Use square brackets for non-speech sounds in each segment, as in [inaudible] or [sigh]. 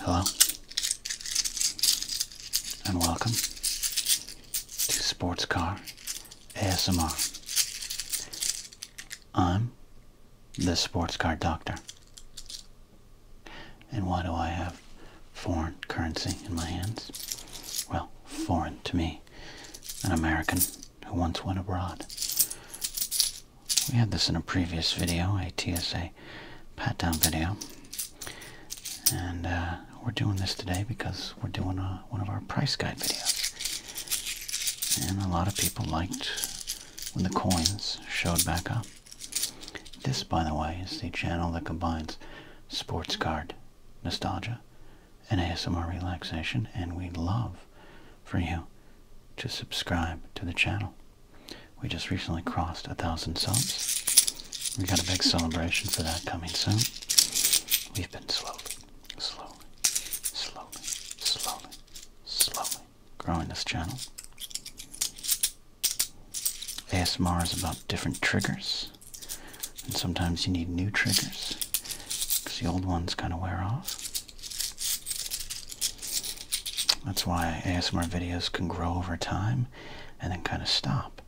Hello, and welcome to Sports Car ASMR. I'm the Sports Car Doctor. And why do I have foreign currency in my hands? Well, foreign to me, an American who once went abroad. We had this in a previous video, a TSA pat down video. And uh, we're doing this today because we're doing uh, one of our price guide videos. And a lot of people liked when the coins showed back up. This, by the way, is the channel that combines sports card nostalgia and ASMR relaxation, and we love for you to subscribe to the channel. We just recently crossed a thousand subs. We got a big celebration for that coming soon. We've been slowly, slowly, slowly, slowly, slowly growing this channel. ASMR is about different triggers, and sometimes you need new triggers because the old ones kind of wear off. That's why ASMR videos can grow over time and then kind of stop.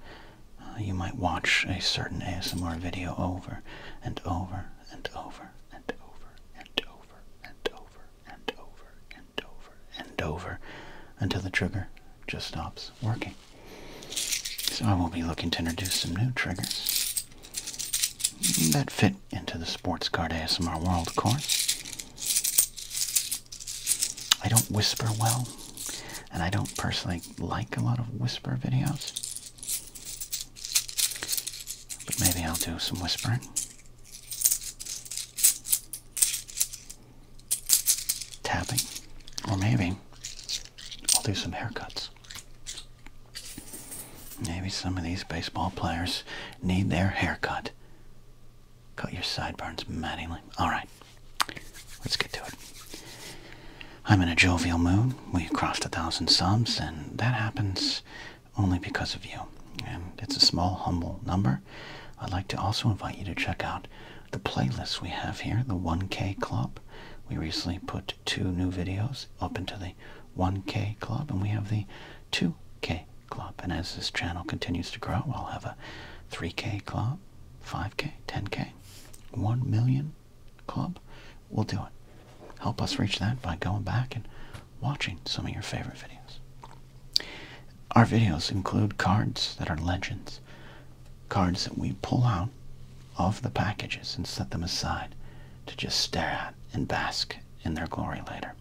Uh, you might watch a certain ASMR video over and over and over and over and over and over and over and over and over until the trigger just stops working. So I will be looking to introduce some new triggers that fit into the sports card ASMR world, course. I don't whisper well, and I don't personally like a lot of whisper videos. But maybe I'll do some whispering. Tapping. Or maybe I'll do some haircuts. Maybe some of these baseball players need their haircut. Cut your sideburns, Mattingly. All right, let's get to it. I'm in a jovial mood. We crossed a thousand subs, and that happens only because of you. And it's a small, humble number. I'd like to also invite you to check out the playlist we have here, the 1K Club. We recently put two new videos up into the 1K Club, and we have the 2K club. And as this channel continues to grow, we will have a 3K club, 5K, 10K, 1 million club. We'll do it. Help us reach that by going back and watching some of your favorite videos. Our videos include cards that are legends, cards that we pull out of the packages and set them aside to just stare at and bask in their glory later.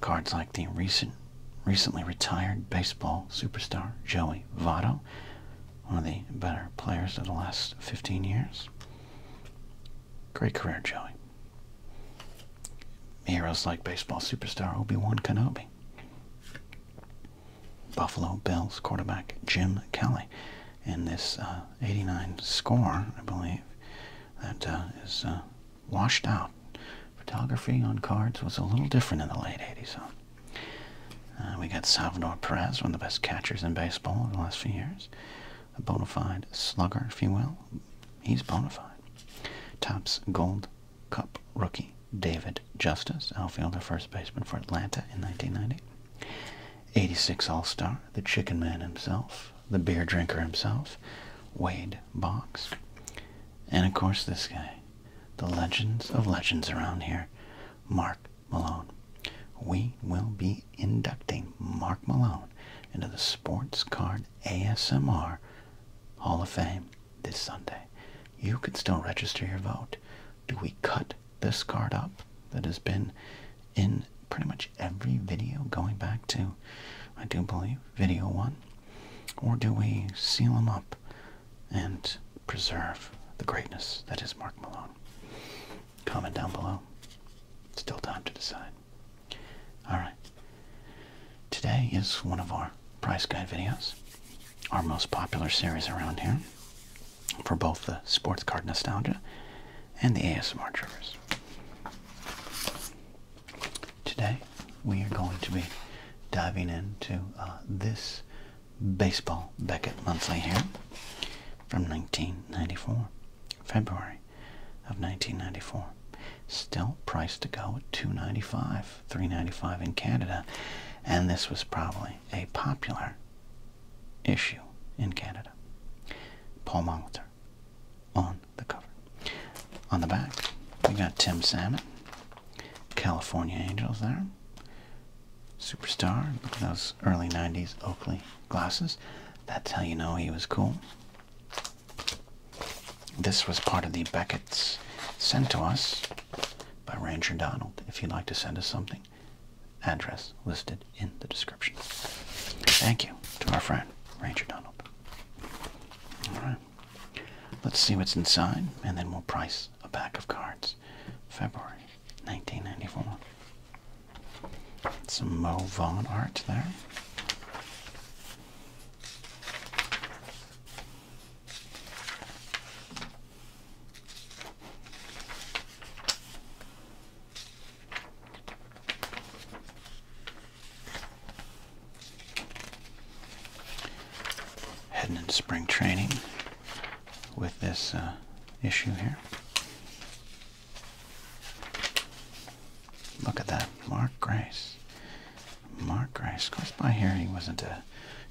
Cards like the recent, recently retired baseball superstar Joey Votto, one of the better players of the last 15 years. Great career, Joey. Heroes like baseball superstar Obi-Wan Kenobi. Buffalo Bills quarterback Jim Kelly. And this uh, 89 score, I believe, that uh, is uh, washed out. Photography on cards was a little different in the late 80s. Uh, we got Salvador Perez, one of the best catchers in baseball over the last few years. A bona fide slugger, if you will. He's bona fide. Topps Gold Cup rookie David Justice, outfielder first baseman for Atlanta in 1990. 86 All-Star, the Chicken Man himself, the beer drinker himself, Wade Box. And of course, this guy, the legends of legends around here, Mark Malone. We will be inducting Mark Malone into the Sports Card ASMR Hall of Fame this Sunday. You can still register your vote. Do we cut this card up that has been in pretty much every video going back to, I do believe, video one? Or do we seal them up and preserve the greatness that is Mark Malone? Comment down below. Still time to decide. Alright. Today is one of our price guide videos, our most popular series around here for both the sports card nostalgia and the ASMR triggers. Today we are going to be diving into uh, this Baseball Beckett Monthly here from 1994, February of 1994. Still priced to go at 2.95, 3.95 in Canada, and this was probably a popular issue in Canada. Paul Molitor on the cover. On the back, we got Tim Salmon, California Angels there. Superstar, look at those early 90s Oakley glasses. That's how you know he was cool. This was part of the Beckett's sent to us by Ranger Donald. If you'd like to send us something, address listed in the description. Thank you to our friend, Ranger Donald. Alright. Let's see what's inside and then we'll price a pack of cards. February 1994. Some Mo Vaughn art there. Heading into spring training with this uh, issue here. Look at that, Mark Grace. Mark Grace goes by here. He wasn't a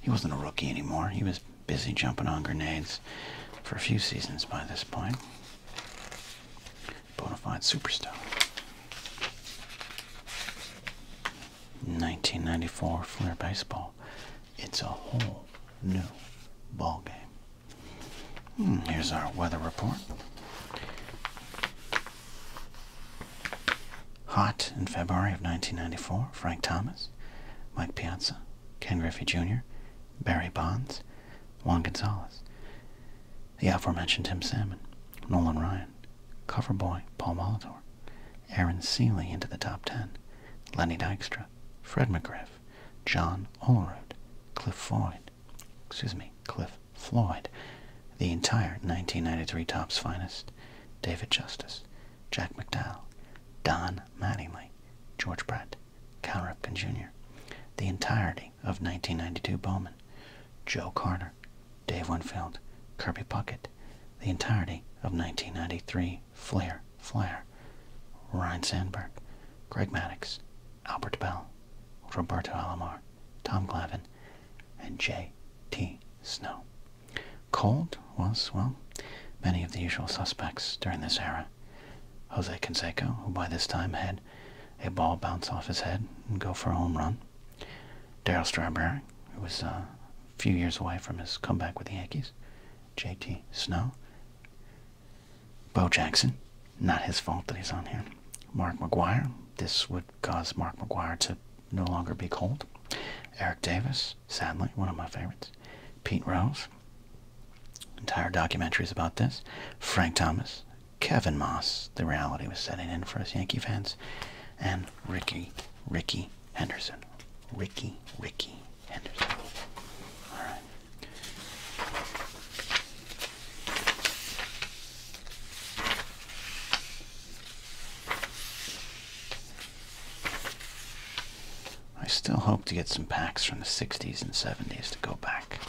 he wasn't a rookie anymore. He was busy jumping on grenades for a few seasons by this point. Bonafide Superstar. 1994 Flair Baseball. It's a whole new ball game. Hmm, here's our weather report. Hot in February of 1994, Frank Thomas, Mike Piazza, Ken Griffey Jr., Barry Bonds, Juan Gonzalez the aforementioned Tim Salmon, Nolan Ryan, Cover Boy Paul Molitor, Aaron Seeley into the top 10, Lenny Dykstra, Fred McGriff, John Olerud, Cliff Floyd, excuse me, Cliff Floyd, the entire 1993 Top's Finest, David Justice, Jack McDowell, Don Mattingly, George Brett, Cal Ripken Jr., the entirety of 1992 Bowman, Joe Carter, Dave Winfield, Kirby Puckett, the entirety of 1993 Flair, Flair, Ryan Sandberg, Greg Maddox, Albert Bell, Roberto Alomar, Tom Glavin, and J.T. Snow. Cold was, well, many of the usual suspects during this era. Jose Canseco, who by this time had a ball bounce off his head and go for a home run. Darrell Strawberry, who was uh, a few years away from his comeback with the Yankees. JT Snow. Bo Jackson, not his fault that he's on here. Mark McGuire, this would cause Mark McGuire to no longer be cold. Eric Davis, sadly, one of my favorites. Pete Rose, entire documentaries about this. Frank Thomas, Kevin Moss, the reality was setting in for us Yankee fans, and Ricky, Ricky Henderson. Ricky, Ricky Henderson. All right. I still hope to get some packs from the 60s and 70s to go back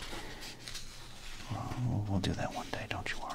we'll do that one day, don't you worry.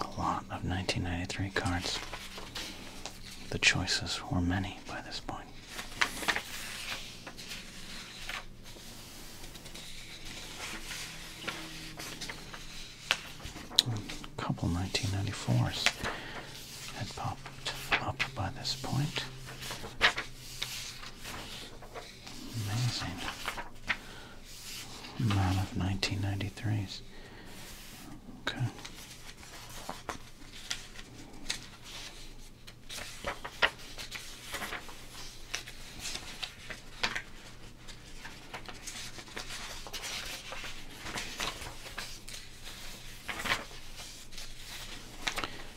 A lot of 1993 cards. The choices were many by this point. couple 1994s had popped up by this point. Amazing amount of 1993s. Okay.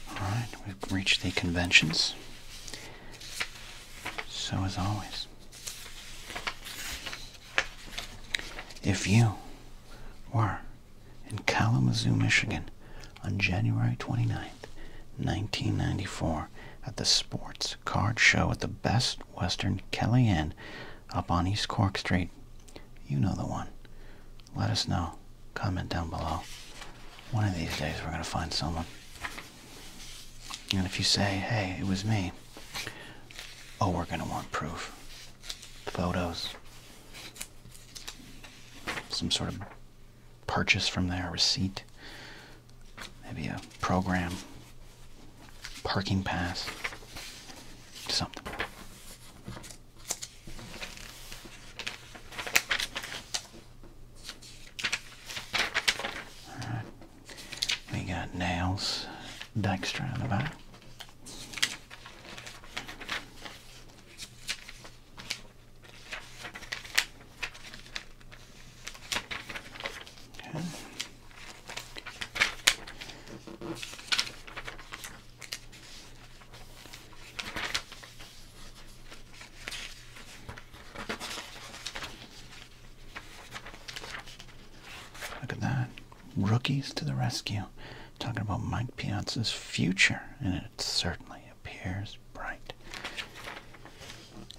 All right, we've reached the conventions. So, as always, if you were in Kalamazoo, Michigan on January 29th, 1994 at the sports card show at the Best Western Kelly Kellyanne up on East Cork Street, you know the one. Let us know. Comment down below. One of these days we're going to find someone. And if you say, hey, it was me, Oh, we're going to want proof. Photos. Some sort of purchase from there, receipt. Maybe a program. Parking pass. Something. All right. We got Nails Dykstra in the back. Okay. Look at that. Rookies to the rescue. Talking about Mike Piazza's future, and it certainly appears bright.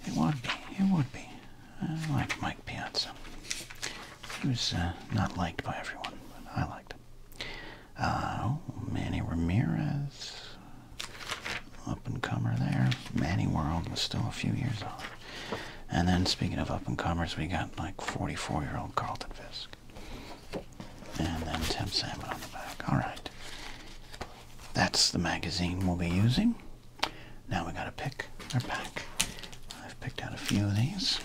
It would be. It would be. I like Mike Piazza. He was uh, not liked by everyone, but I liked him. Uh, oh, Manny Ramirez. Up and comer there. Manny World was still a few years off. And then speaking of up and comers, we got like 44 year old Carlton Fisk. And then Tim Salmon on the back. Alright. That's the magazine we'll be using. Now we gotta pick our pack. I've picked out a few of these.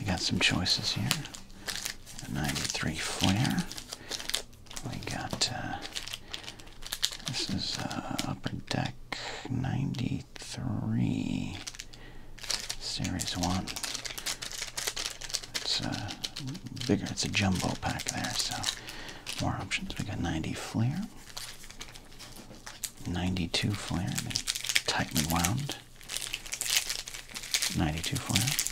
We got some choices here. 93 Flair. We got, uh, this is uh, Upper Deck 90. 1983 Series 1. It's uh, bigger, it's a jumbo pack there, so more options. We got 90 flare, 92 flare, I mean, tightly wound. 92 flare.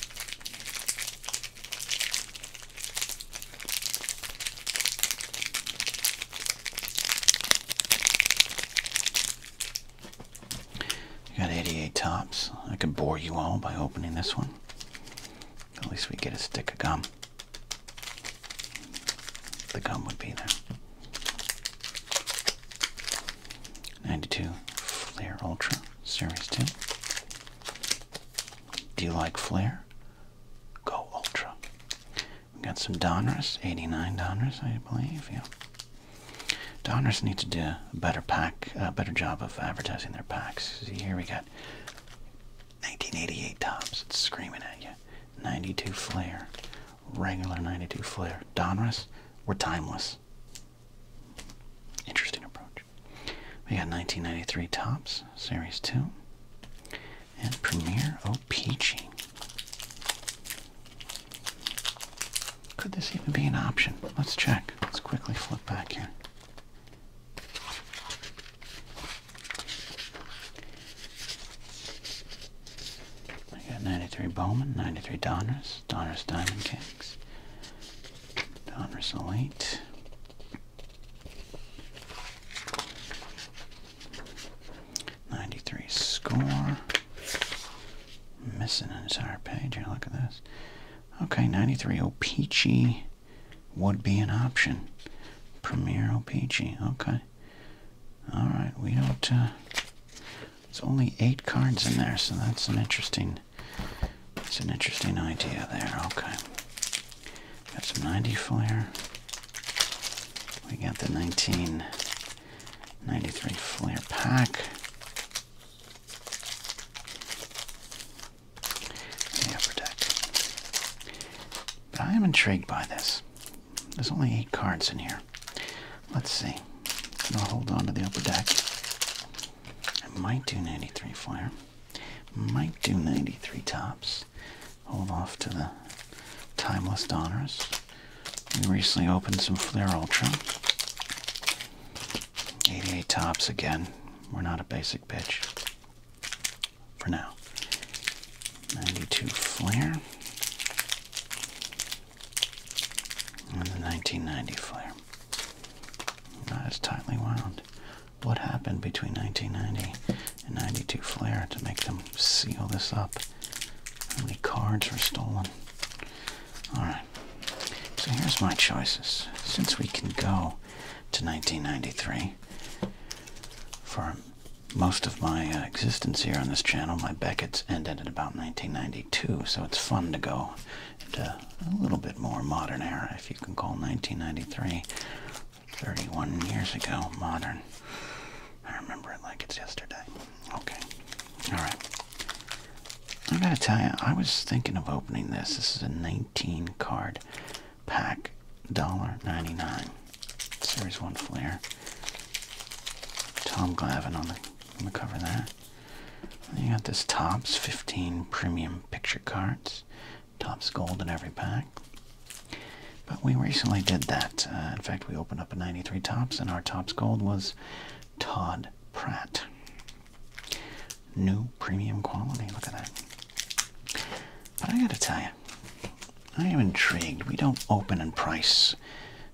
You got 88 tops. I could bore you all by opening this one. At least we get a stick of gum. The gum would be there. 92 Flare Ultra Series 2. Do you like Flare? Go Ultra. We got some Donruss, eighty-nine Donruss, I believe. Yeah. Donruss need to do a better pack, a better job of advertising their packs. See here, we got nineteen eighty-eight tops. It's screaming at you. Ninety-two Flair, regular ninety-two Flair. Donruss, we're timeless. Interesting approach. We got nineteen ninety-three tops, Series Two and Premier OPG. Could this even be an option? Let's check. Let's quickly flip back here. I got 93 Bowman, 93 Donners, Donners Diamond Kings, Donners Elite, 93 score. Missing an entire page here. Look at this. Okay, 93 Opeachy would be an option. Premier Opeachy. Okay. Alright, we don't. Uh, there's only eight cards in there, so that's an interesting. It's an interesting idea there. Okay. That's 90 flare. We got the 1993 Flair Pack. upper deck. But I am intrigued by this. There's only eight cards in here. Let's see. I'll hold on to the upper deck. I might do 93 Flair. Might do 93 tops hold off to the Timeless Donors. We recently opened some Flair Ultra. 88 tops again. We're not a basic bitch. For now. 92 Flair And the 1990 Flair. Not as tightly wound. What happened between 1990 and 92 flare to make them seal this up. How many cards were stolen? Alright, so here's my choices. Since we can go to 1993, for most of my uh, existence here on this channel, my Beckett's ended at about 1992, so it's fun to go to a little bit more modern era, if you can call 1993, 31 years ago, modern. I remember it like it's yesterday. Okay. Alright. I gotta tell you, I was thinking of opening this. This is a 19 card pack, $1.99. Series 1 Flair. Tom Glavin on the, cover there. you got this tops 15 Premium Picture Cards. Tops Gold in every pack. But we recently did that. Uh, in fact, we opened up a 93 Tops, and our Tops Gold was Todd Pratt. New premium quality. Look at that. But I gotta tell you, I am intrigued. We don't open and price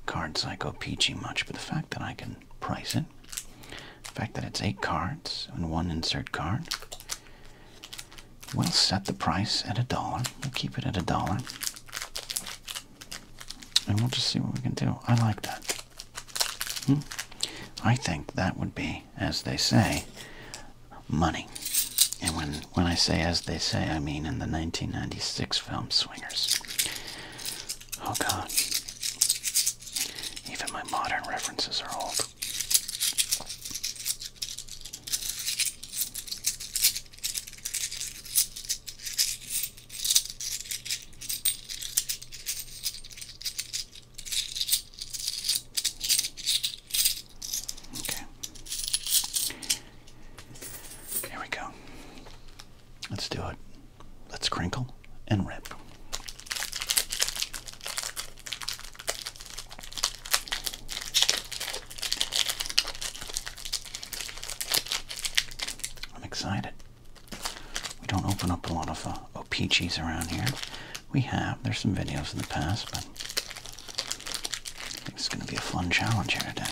cards like Peachy much, but the fact that I can price it, the fact that it's eight cards and one insert card, we'll set the price at a dollar. We'll keep it at a dollar. And we'll just see what we can do. I like that. Hmm? I think that would be, as they say, money. And when, when I say as they say, I mean in the 1996 film Swingers. Oh god. Even my modern references are old. Okay. Here we go. Let's do it. Let's crinkle and rip. I'm excited. We don't open up a lot of uh, OPGs around here. We have. There's some videos in the past, but I think it's going to be a fun challenge here today.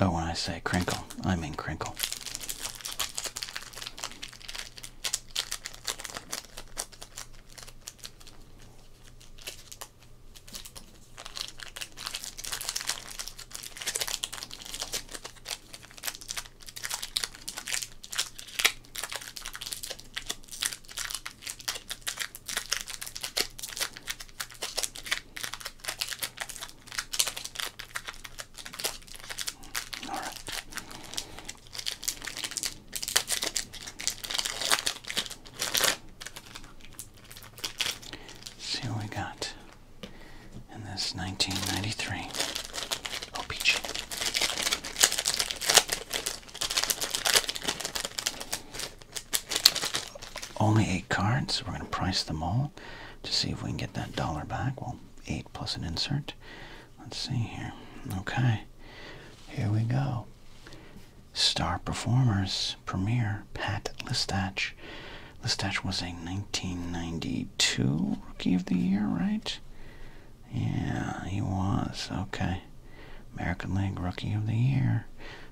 Oh, when I say crinkle, I mean crinkle. All right. See what we got in this 1993 OPG. Only eight cards. So we're going to price them all to see if we can get that dollar back. Well, eight plus an insert. Let's see here. Okay. Here we go. Star Performers Premier Pat Listach. Listach was a 1992 Rookie of the Year, right? Yeah, he was. Okay. American League Rookie of the Year.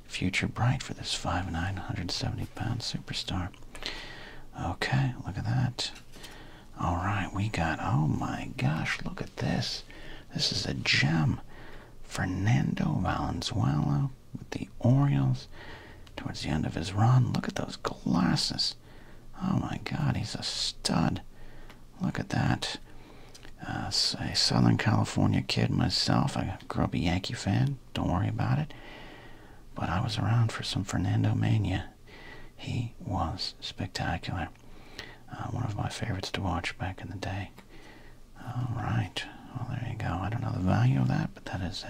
Future bright for this 5'9", 170-pound superstar. Okay, look at that. All right, we got, oh my gosh, look at this. This is a gem. Fernando Valenzuela with the Orioles towards the end of his run. Look at those glasses. Oh my god, he's a stud. Look at that. Uh, a Southern California kid myself. I grew up a Yankee fan. Don't worry about it. But I was around for some Fernando Mania. He was spectacular. Uh, one of my favorites to watch back in the day. All right. Well, there you go. I don't know the value of that, but that has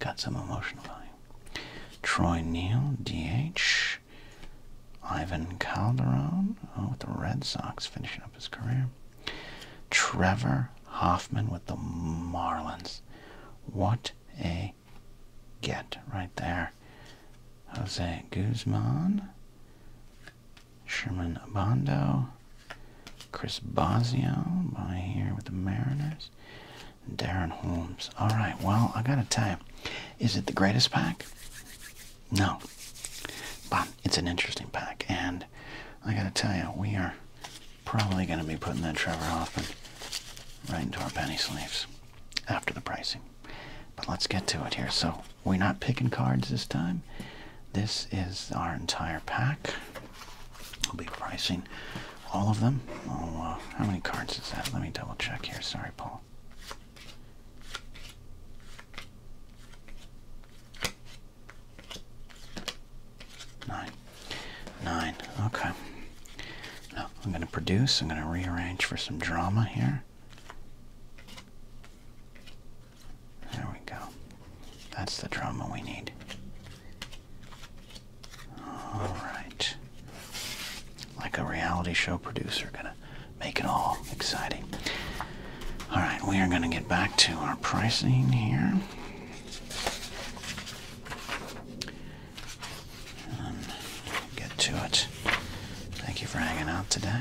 got some emotional value. Troy Neal, DH. Ivan Calderon, oh, with the Red Sox finishing up his career. Trevor Hoffman with the Marlins. What a get right there. Jose Guzman, Sherman Abando, Chris Bosio by here with the Mariners, Darren Holmes. All right, well, I gotta tell you, is it the greatest pack? No. But it's an interesting pack. And I got to tell you, we are probably going to be putting that Trevor Hoffman right into our penny sleeves after the pricing. But let's get to it here. So we're not picking cards this time. This is our entire pack. We'll be pricing all of them. Oh, uh, how many cards is that? Let me double check here. Sorry, Paul. Nine. Nine. Okay. Now I'm going to produce. I'm going to rearrange for some drama here. There we go. That's the drama we need. All right. Like a reality show producer, gonna make it all exciting. All right, we are going to get back to our pricing here. Um, get to it. Thank you for hanging out today.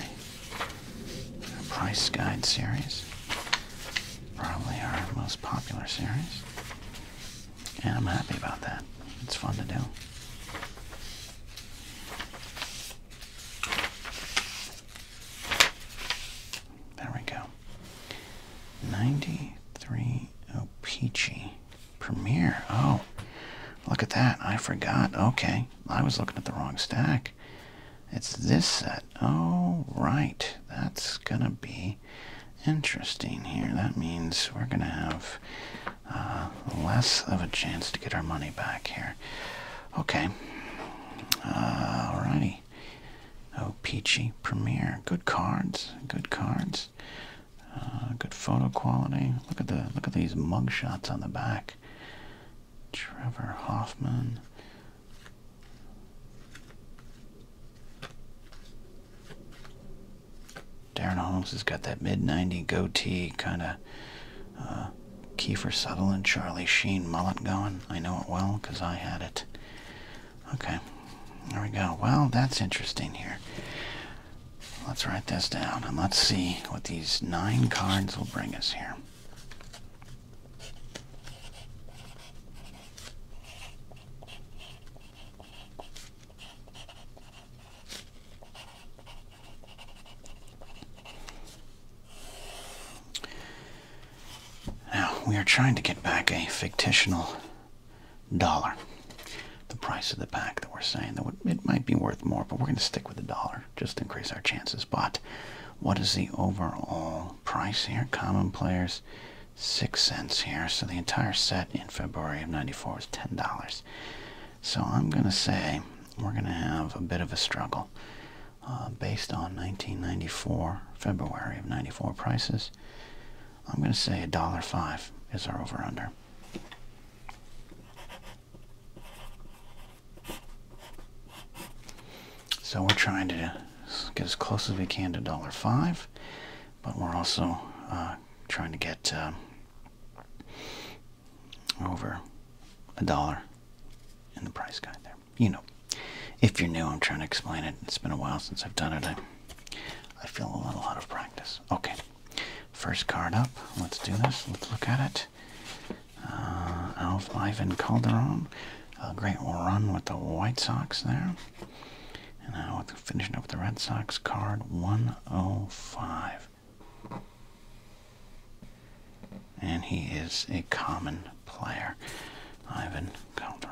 price guide series, probably our most popular series. And I'm happy about that. It's fun to do. There we go. 93 oh, peachy Premier. Oh, look at that. I forgot. Okay. I was looking at the wrong stack. It's this set. Oh, right. That's going to be interesting here. That means we're going to have uh, less of a chance to get our money back here. Okay. Uh, alrighty. Oh, Peachy Premiere, Good cards. Good cards. Uh, good photo quality. Look at the look at these mug shots on the back. Trevor Hoffman. Darren Holmes has got that mid 90 goatee kind of uh, Kiefer Sutherland, Charlie Sheen mullet going. I know it well because I had it. Okay, there we go. Well, that's interesting here. Let's write this down and let's see what these nine cards will bring us here. Now, we are trying to get back a fictitional dollar. The price of the pack that we're saying that it might be worth more, but we're going to stick with the dollar just to increase our chances. But what is the overall price here? Common players, six cents here. So the entire set in February of 94 was $10. So I'm going to say we're going to have a bit of a struggle. Uh, based on 1994, February of 94 prices. I'm going to say $1.05 is our over-under. So we're trying to get as close as we can to $1.05, but we're also uh, trying to get uh, over a dollar in the price guide there. You know, if you're new, I'm trying to explain it. It's been a while since I've done it. I, I feel a little out of practice. Okay, first card up. Let's do this. Let's look at it. Uh, Alf Ivan Calderon. A uh, great run with the White Sox there. And now finishing up the Red Sox card 105. And he is a common player, Ivan Calderon.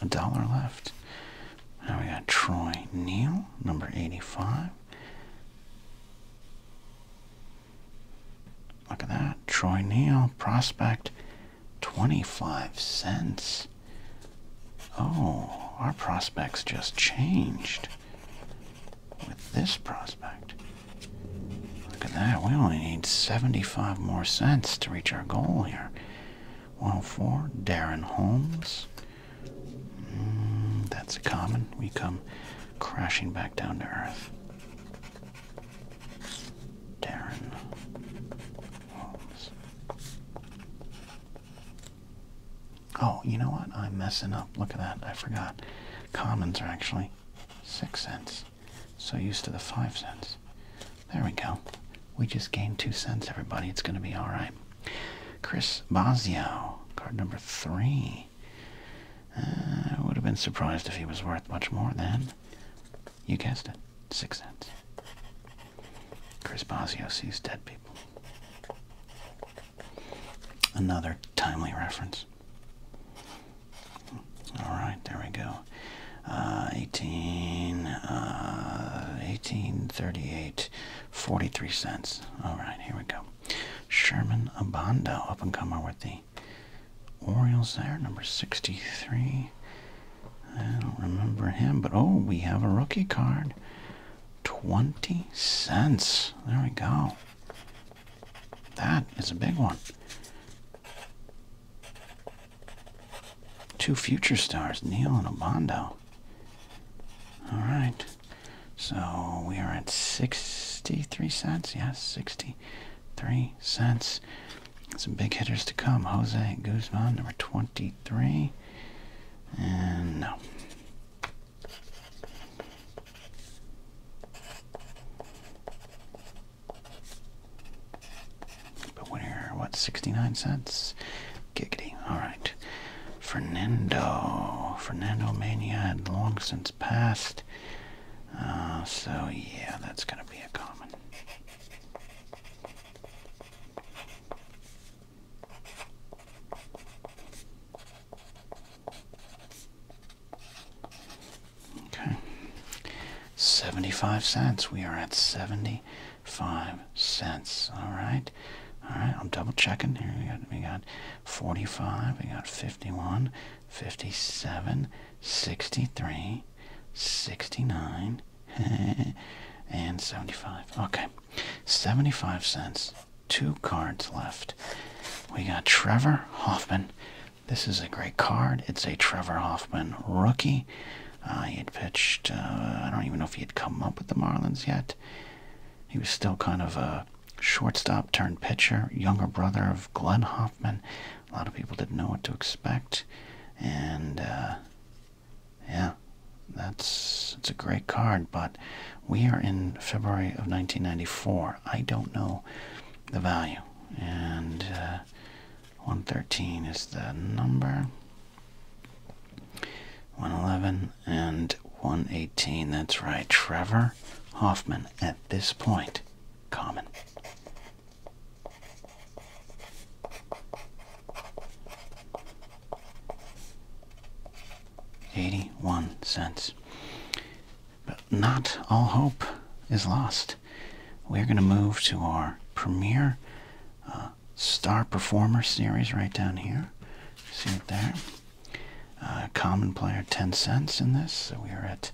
a dollar left. Now we got Troy Neal, number 85. Look at that. Troy Neal, prospect 25 cents. Oh, our prospects just changed with this prospect. Look at that. We only need 75 more cents to reach our goal here. 104, Darren Holmes. Hmm, that's a common. We come crashing back down to earth. Darren Oh, you know what? I'm messing up. Look at that. I forgot. Commons are actually six cents. So used to the five cents. There we go. We just gained two cents, everybody. It's going to be all right. Chris Bazio, card number three. I uh, would have been surprised if he was worth much more than, you guessed it, six cents. Chris Bosio sees dead people. Another timely reference. All right, there we go. Uh, 18, 1838, uh, 43 cents. All right, here we go. Sherman Abando, up and comer with the Orioles there, number 63. I don't remember him, but oh, we have a rookie card. 20 cents. There we go. That is a big one. Two future stars, Neil and Abando. All right. So we are at 63 cents. Yes, 63 cents. Some big hitters to come. Jose Guzman, number 23. And no. But winner, what, 69 cents? Giggity. Alright. Fernando. Fernando Mania had long since passed. Uh, so, yeah, that's going to be a common. Okay. 75 cents. We are at 75 cents. All right. All right. I'm double checking here. We got we got 45, we got 51, 57, 63, 69, [laughs] and 75. Okay. 75 cents. Two cards left. We got Trevor Hoffman. This is a great card. It's a Trevor Hoffman rookie. Uh, he had pitched, uh, I don't even know if he had come up with the Marlins yet. He was still kind of a shortstop turned pitcher, younger brother of Glenn Hoffman. A lot of people didn't know what to expect. And uh, yeah, that's it's a great card, but we are in February of 1994. I don't know the value, and uh, 113 is the number. 111 and 118. That's right, Trevor Hoffman. At this point, common. 81 cents. But not all hope is lost. We're going to move to our premier uh, star performer series right down here. See it there? Uh, common player 10 cents in this, so we are at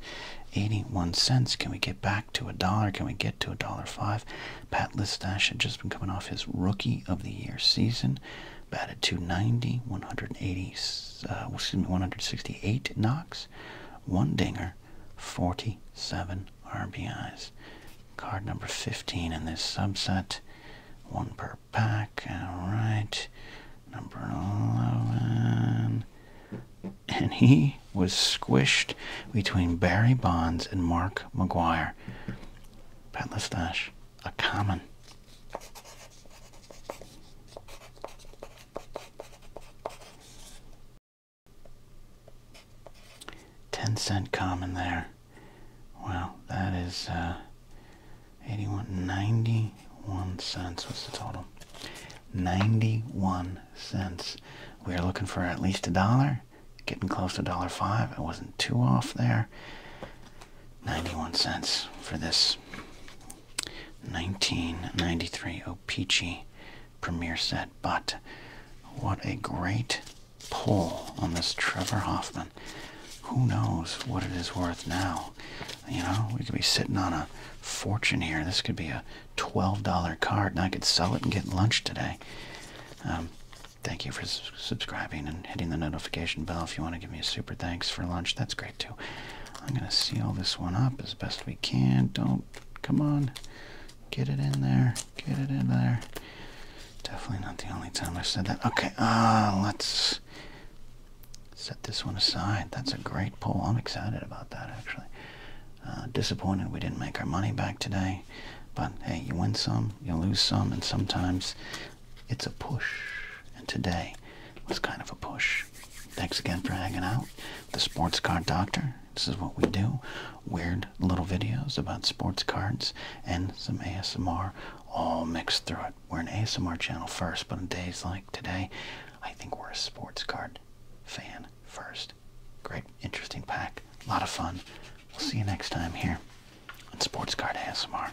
81 cents. Can we get back to a dollar? Can we get to a dollar five, Pat Listach had just been coming off his Rookie of the Year season. Batted 290, 180, uh, excuse me, 168 knocks, one dinger, 47 RBIs. Card number 15 in this subset. One per pack. All right. Number 11. And he was squished between Barry Bonds and Mark McGuire. Peddler's a common. Ten cent common there. Well, that is uh, 81, 91 cents. What's the total? 91 cents. We are looking for at least a dollar. Getting close to $1.05. I wasn't too off there. 91 cents for this 1993 Opeachy premiere set. But what a great pull on this Trevor Hoffman. Who knows what it is worth now? You know, we could be sitting on a fortune here. This could be a $12 card, and I could sell it and get lunch today. Um, Thank you for subscribing and hitting the notification bell. If you want to give me a super thanks for lunch, that's great too. I'm going to seal this one up as best we can. Don't, come on. Get it in there. Get it in there. Definitely not the only time i said that. Okay, uh, let's set this one aside. That's a great poll. I'm excited about that, actually. Uh, disappointed we didn't make our money back today. But hey, you win some, you lose some, and sometimes it's a push. And today was kind of a push. Thanks again for hanging out. The Sports Card Doctor. This is what we do. Weird little videos about sports cards and some ASMR all mixed through it. We're an ASMR channel first, but on days like today, I think we're a sports card fan first. Great, interesting pack. A lot of fun. We'll see you next time here and sports card ASMR.